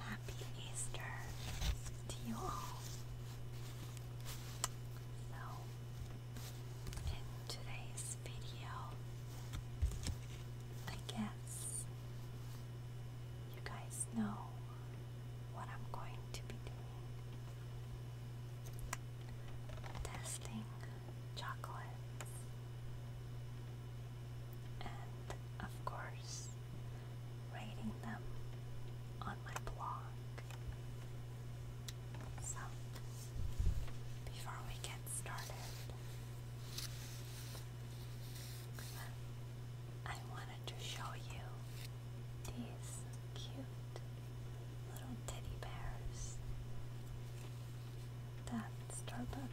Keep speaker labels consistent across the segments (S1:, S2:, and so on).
S1: Happy Easter to you all. So, in today's video, I guess you guys know what I'm going to be doing testing chocolates and of course, rating them on my blog. So, before we get started, I wanted to show you these cute little teddy bears that Starbucks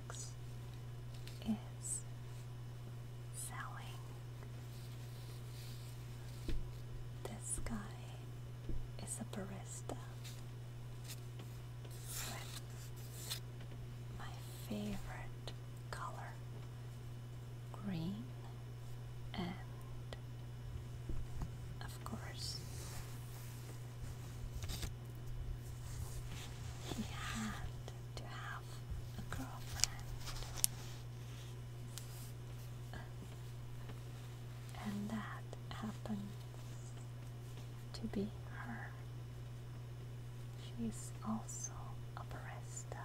S1: is selling. This guy is a barista with my favorite color green and of course he had to have a girlfriend, and that happens to be her. She's also a barista,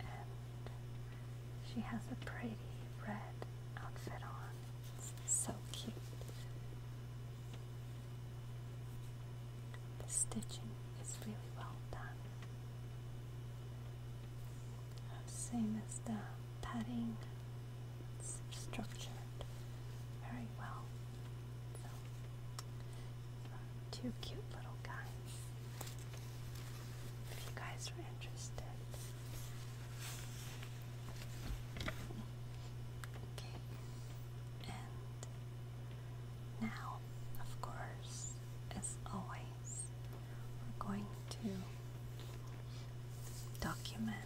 S1: and she has a pretty red outfit on. It's so cute. The stitching is really well done. Same as the padding, it's structured very well. two cute little guys. If you guys are interested. Okay, and now, of course, as always, we're going to document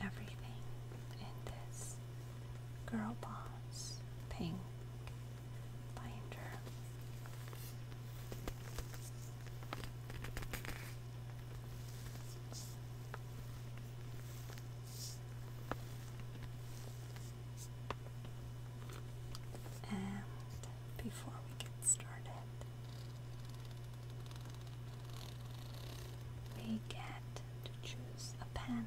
S1: everything in this Girl Boss pink binder. And before we get started, we get to choose a pen.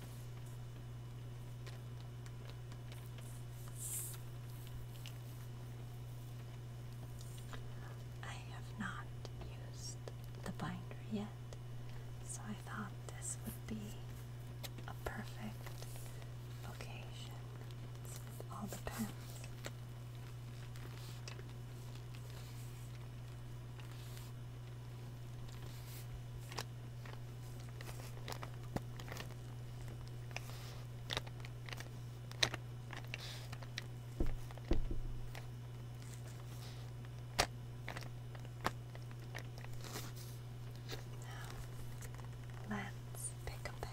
S1: I have not used the binder yet, so I thought this would be a perfect occasion with all the pens. Now, let's pick a pen.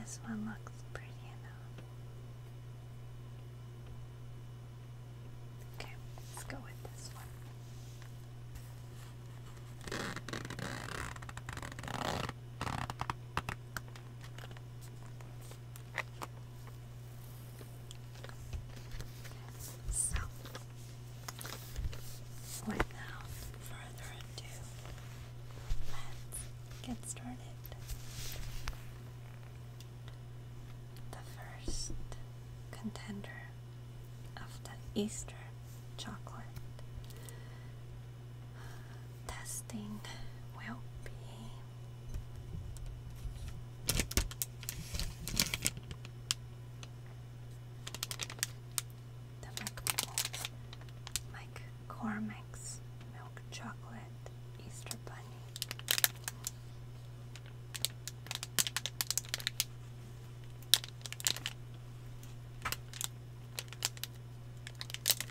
S1: This one looks pretty enough. Okay, let's go with this one. So, without further ado, let's get started. The first contender of the Easter chocolate testing will be the McMilk, Mike Cormack's Milk Chocolate Easter Bunny.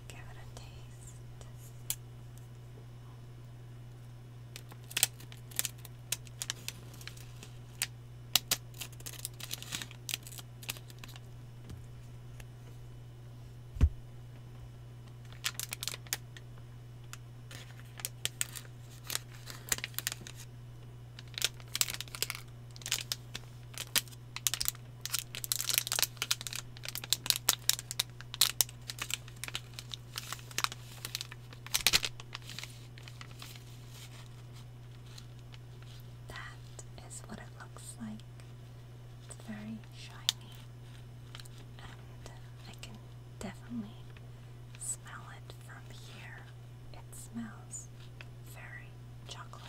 S1: Let's give it a taste. That is what it looks like. It's very shiny, and I can definitely smell it from here. It smells very chocolate.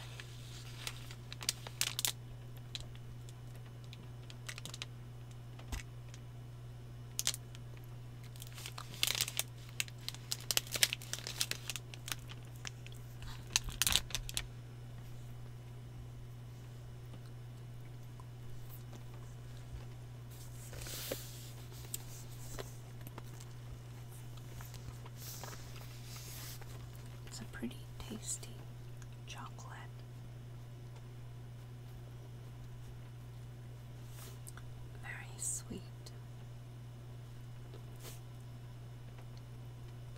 S1: It's a pretty tasty chocolate very sweet.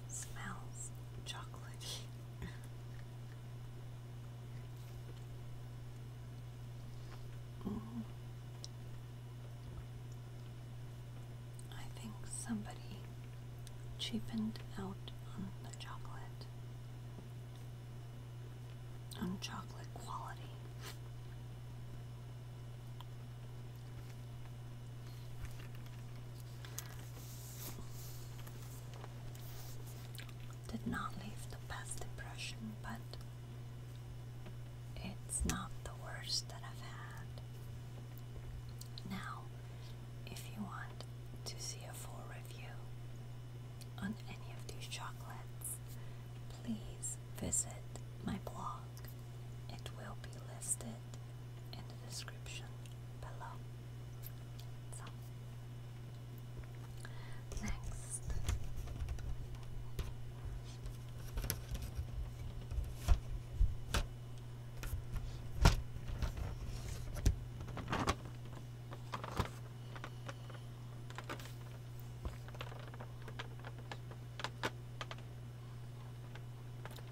S1: Smells chocolatey. I think somebody cheapened out on the chocolate on chocolate quality. Did not leave the best impression, but it's not the worst that I've had. Now, if you want to see a full review on any of these chocolates, please visit my blog. It will be listed in the description below. next.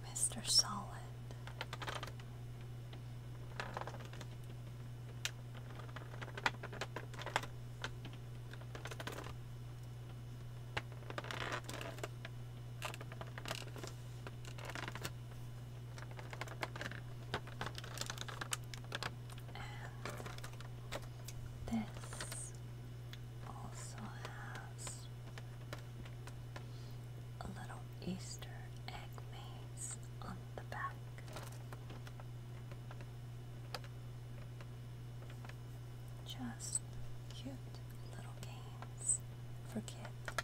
S1: Mr. Solid this also has a little Easter egg on the back. Just cute little games for kids.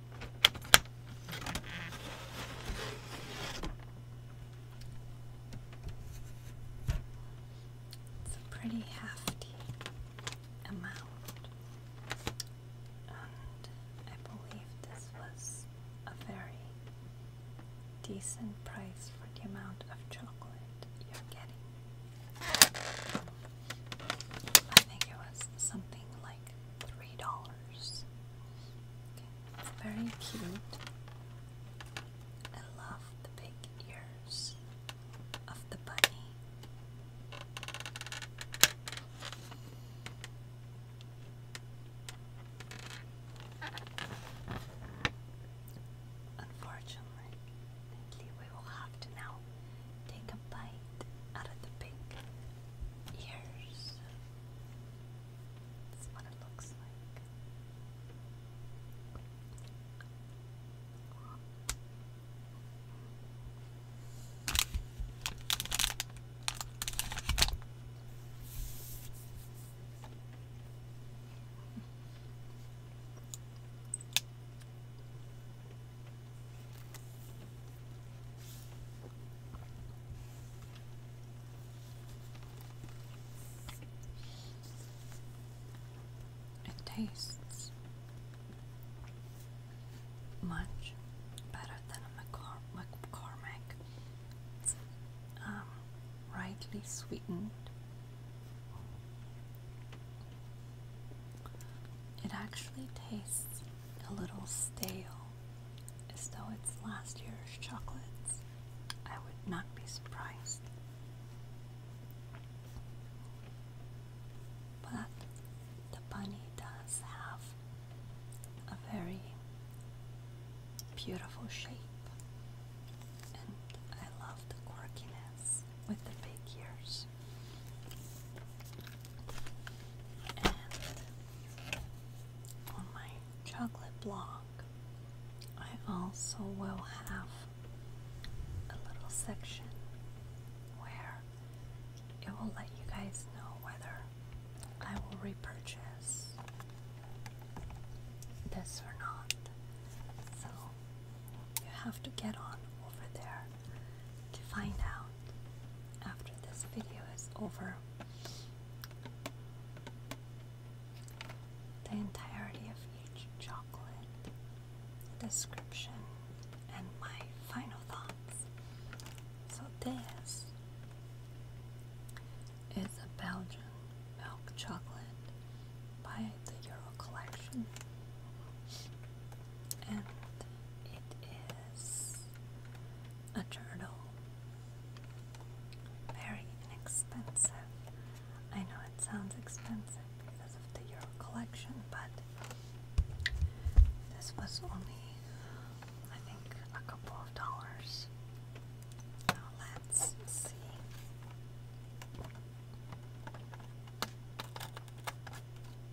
S1: It's a pretty hefty amount, I believe this was a very decent price for the amount of chocolate you're getting. I think it was something like three dollars. It's very cute. I love the big ears of the bunny. Unfortunately, we will have to now take a bite out of the big ears. That's what it looks like. It tastes much better than a McCormack. It's um, rightly sweetened. It actually tastes a little stale, as though it's last year's chocolates, I would not be surprised. But the bunny does have a very beautiful shape, and I love the quirkiness with the big ears on my chocolate block, I also will have a little section where it will let you guys know whether I will repurchase this or not. So you have to get on over there to find out after this video is over the entirety of each chocolate, description, and my final thoughts. So, this is a Belgian milk chocolate by the Euro Collection and it is a turtle. Very inexpensive. I know it sounds expensive because of the Euro collection, but this was only, I think, a couple of dollars. Now let's see.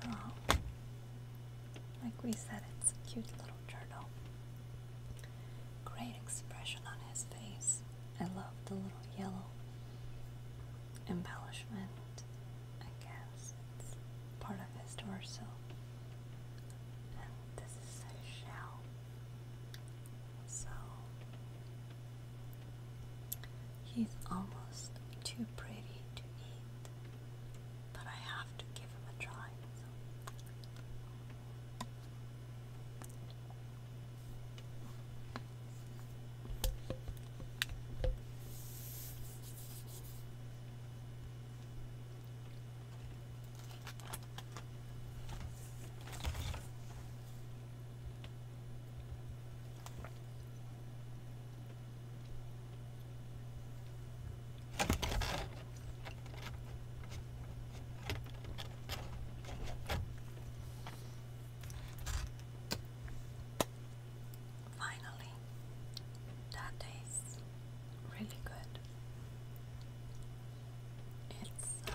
S1: So, like we said, it's a cute little journal. Great expression on his face. I love the little yellow embellishment. I guess it's part of his torso. And this shell. So he's almost too pretty to eat, but I have to give him a try. Finally, that tastes really good. Uh,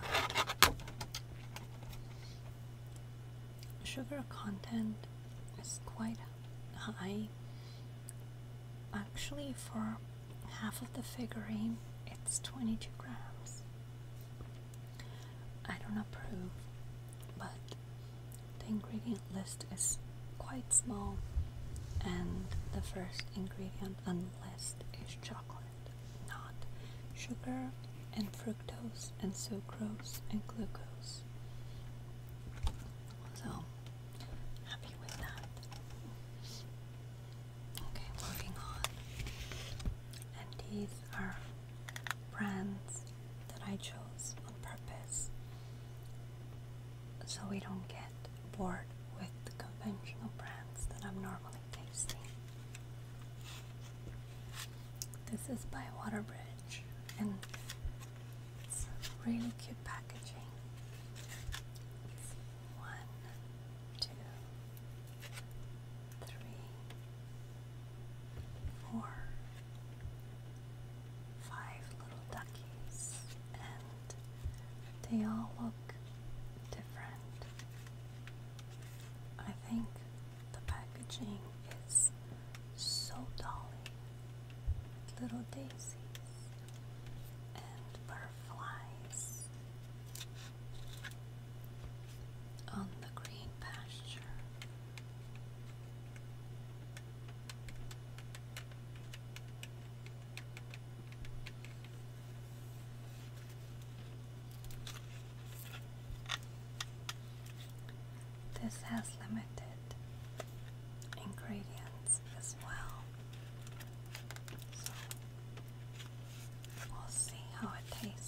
S1: sugar content is quite high. Actually, for half of the figurine, it's 22 grams. I don't approve, but the ingredient list is quite small, and the first ingredient on the list is chocolate not sugar and fructose and sucrose and glucose. So happy with that. Okay, moving on. And these are brands that I chose on purpose so we don't get bored with the conventional brands that I'm normally tasty. This is by Waterbridge and it's really cute packaging. one, two, three, four, five little duckies, and they all look different. I think the packaging is so dolly. Little daisies and butterflies on the green pasture. This has limited ingredients as well, so we'll see how it tastes.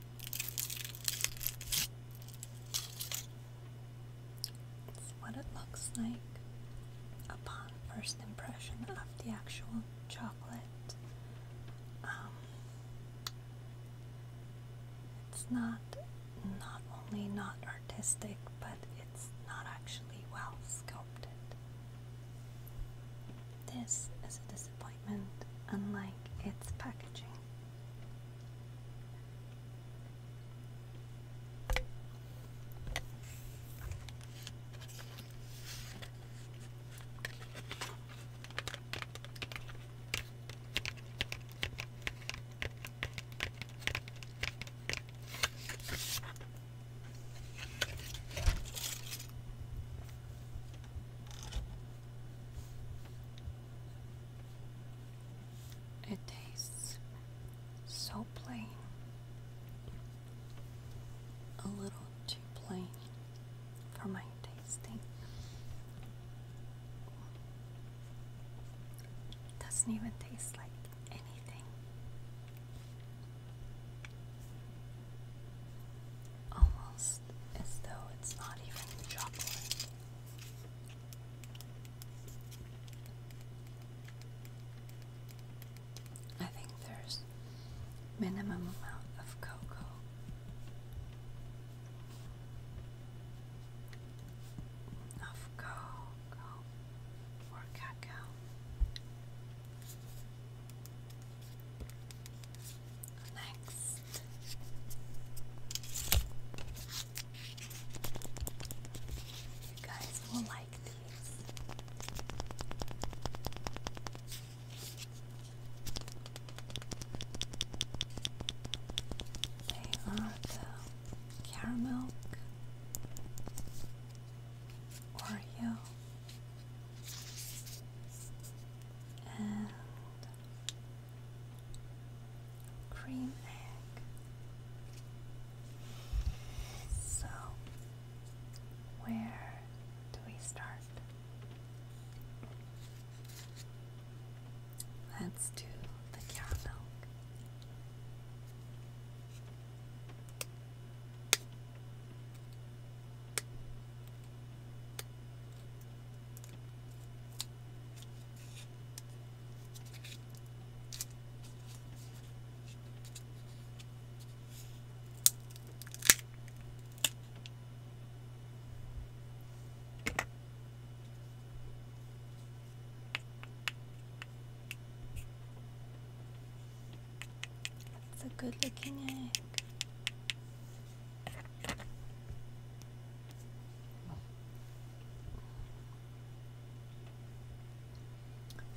S1: what it looks like upon first impression of the actual chocolate. Um, it's not not only not artistic, but it's not actually well sculpted. This is a disappointment unlike its packaging. It tastes so plain, a little too plain for my tasting. Doesn't even taste like anything. Almost as though it's not even chocolate. I think there's minimum amount of cocoa. Of cocoa or cacao next. You guys will like these. They are the caramel, Oreo, and cream egg. So, where do we start? Let's do the cow it's a good looking egg.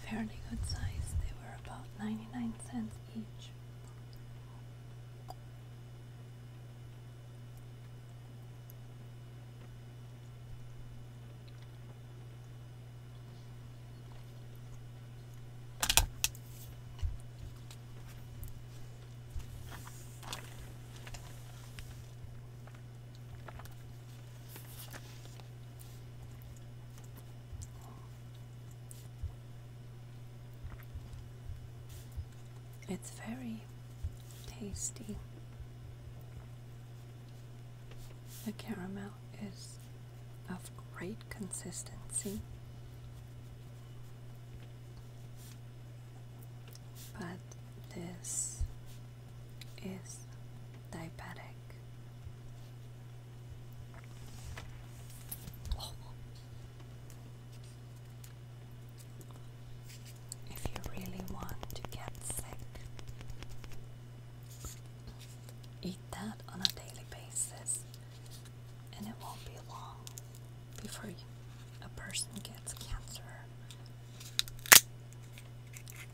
S1: Fairly good size, they were about 99 cents each. It's very tasty. The caramel is of great consistency but this is diabetic. If you really want to get sick, eat that on a daily basis, and it won't be long before a person gets cancer.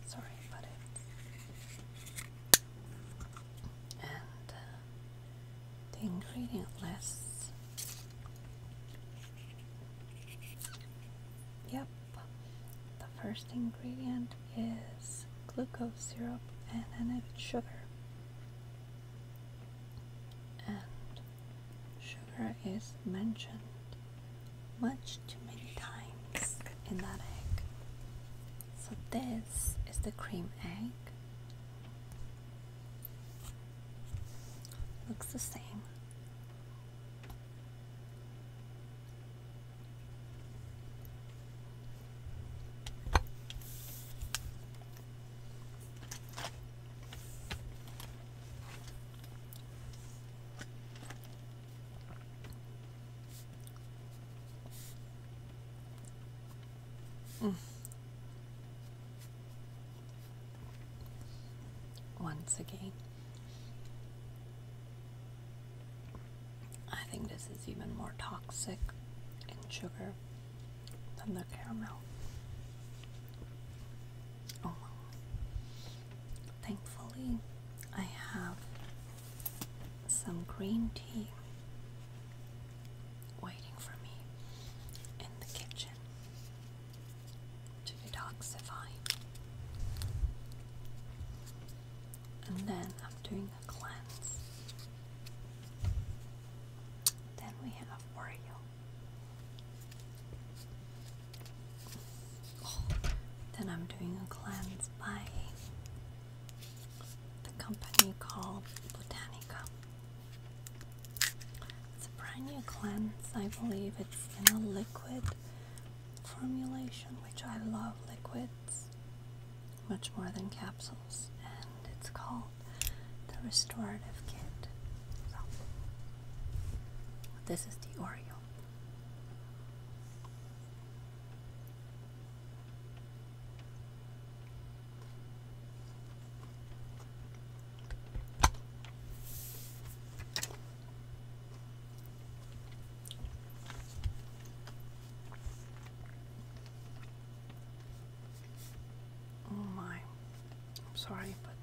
S1: Sorry about it. And uh, the ingredient list. Yep, the first ingredient is glucose syrup and then added sugar. Sugar is mentioned much too many times in that egg. So, this is the cream egg. Looks the same. Mm. Once again, I think this is even more toxic in sugar than the caramel. Oh Thankfully, I have some green tea waiting for me in the kitchen to detoxify. And then I'm doing a cleanse. Then we have Oreo. Oh, then I'm doing a cleanse by the company called Botanica. It's a brand new cleanse, I believe it's in a liquid formulation, which I love liquids much more than capsules, and it's called the Restorative Kit. This is the Oriole. Oh, my. I'm sorry, but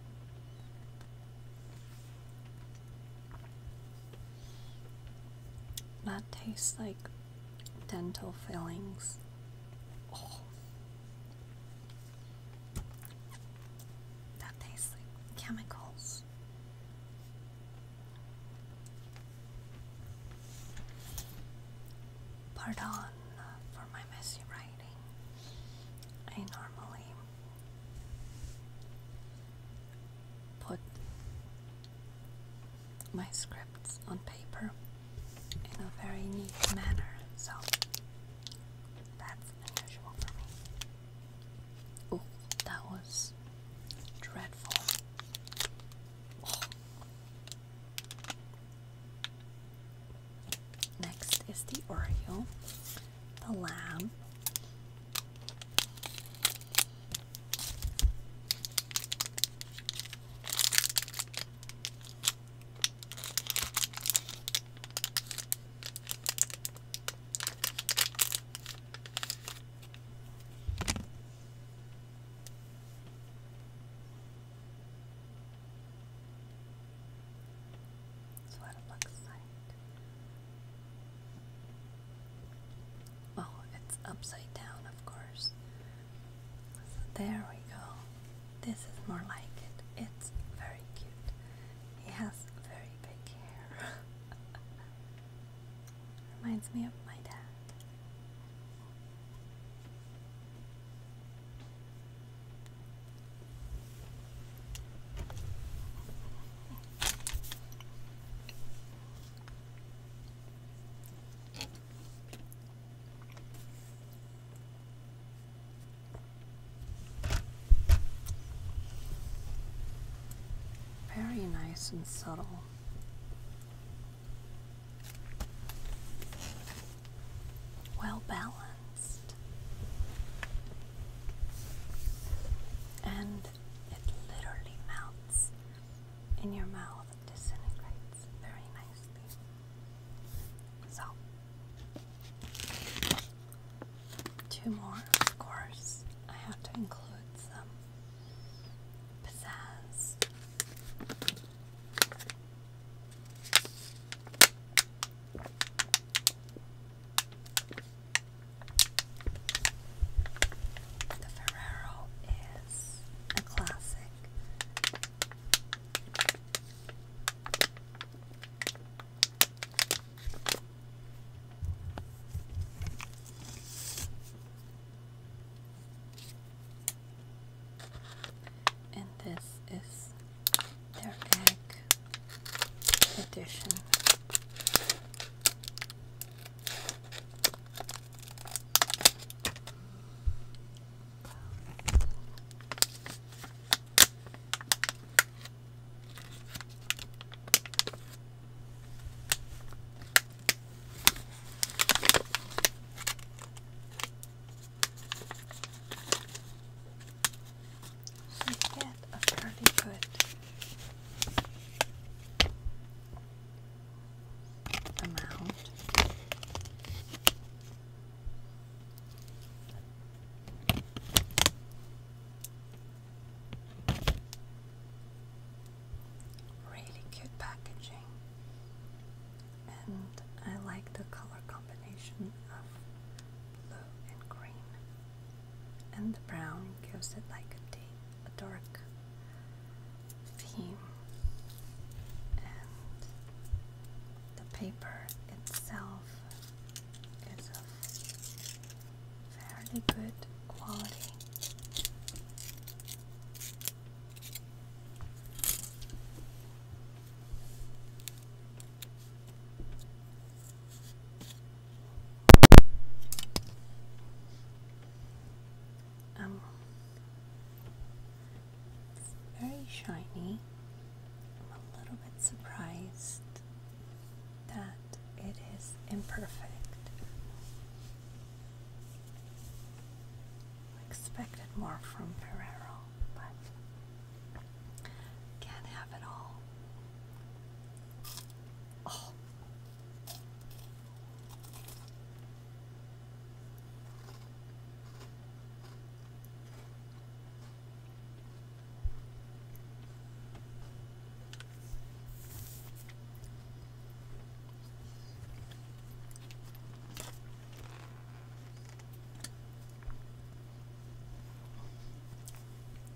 S1: that tastes like dental fillings. Oh. That tastes like chemicals. Pardon uh, for my messy writing. I normally put my scripts on paper in a very neat manner, so that's unusual for me. Oh, that was dreadful. Next is the Oreo, the lamb. That's what it looks like. Oh, it's upside down, of course. there we go. This is more like it. It's very cute. He has very big hair. Reminds me of my dad. Very nice and subtle well balanced, and it literally melts in your mouth, it disintegrates very nicely. So, two more, of course. I have to include some pizzazz. The Ferrero is a classic. And this is their egg edition. You get a pretty good amount. Really cute packaging, and I like the color combination of blue and green. And the brown gives it like a, dark theme. And the paper itself is of fairly good quality. Um, it's very shiny. I'm a little bit surprised that it is imperfect. expected more from Ferrero, but can't have it all. Oh.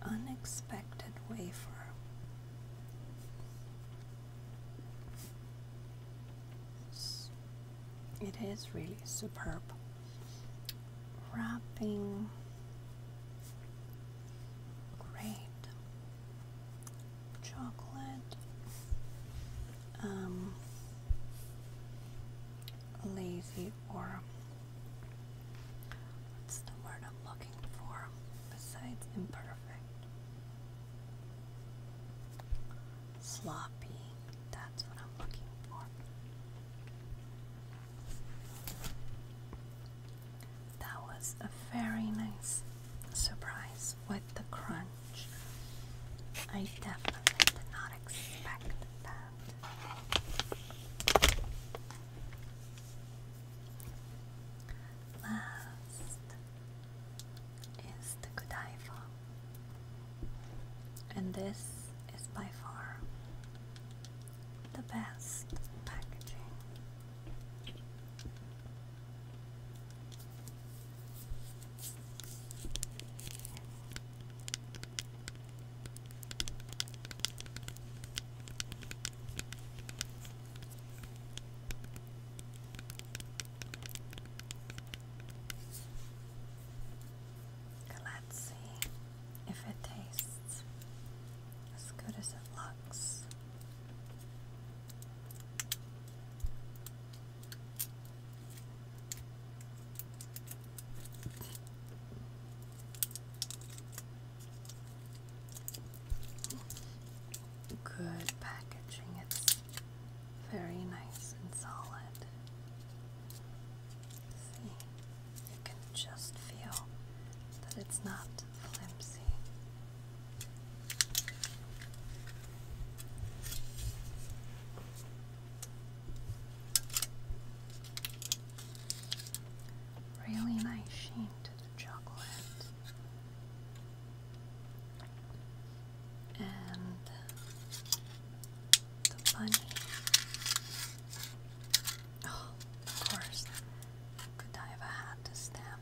S1: Unexpected wafer. It is really superb. Wrapping. Great. Chocolate. Um, lazy or what's the word I'm looking for besides imperfect? Sloppy. That's what I'm looking for. That was a very nice surprise with the crunch. I definitely did not expect that. Last is the Godiva, and this is by far the best packaging. Let's see if it tastes as good as it looks. Good packaging, it's very nice and solid. See, you can just feel that it's not flimsy. Really nice sheen to the chocolate. And the bunny. Oh, of course. Godiva had to stamp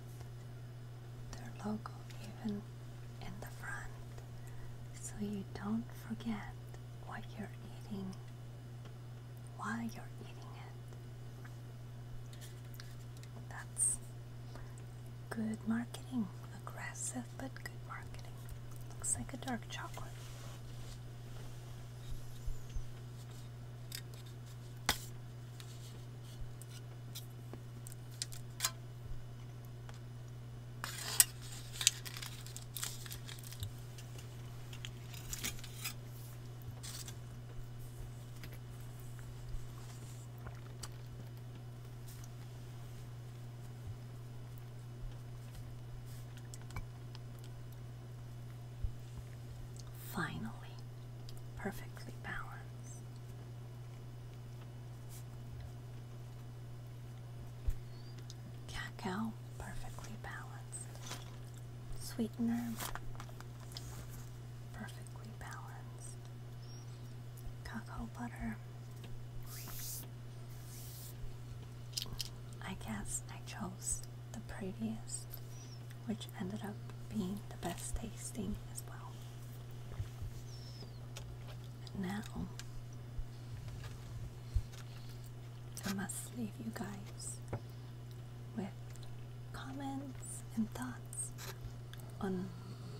S1: their logo even in the front so you don't forget what you're eating while you're eating it. That's good marketing. Aggressive, but good marketing. Looks like a dark chocolate. Finally, perfectly balanced. Cacao perfectly balanced sweetener, perfectly balanced cocoa butter. I guess I chose the prettiest, which ended up being the best tasting as well. now I must leave you guys with comments and thoughts on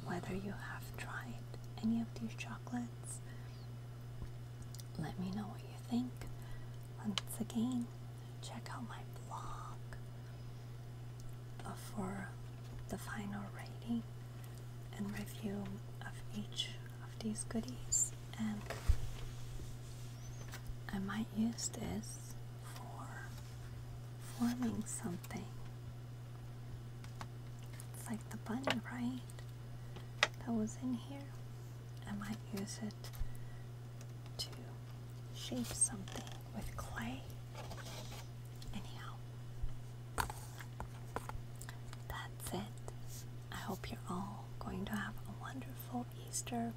S1: whether you have tried any of these chocolates. Let me know what you think. Once again, check out my blog for the final rating and review of each of these goodies and I might use this for forming something. It's like the bunny, right? That was in here. I might use it to shape something with clay. Anyhow, that's it. I hope you're all going to have a wonderful Easter.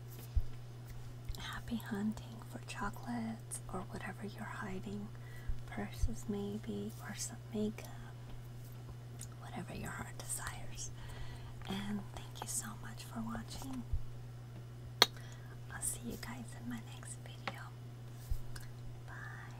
S1: Happy hunting for chocolates or whatever you're hiding, purses maybe, or some makeup, whatever your heart desires. And thank you so much for watching. I'll see you guys in my next video. Bye.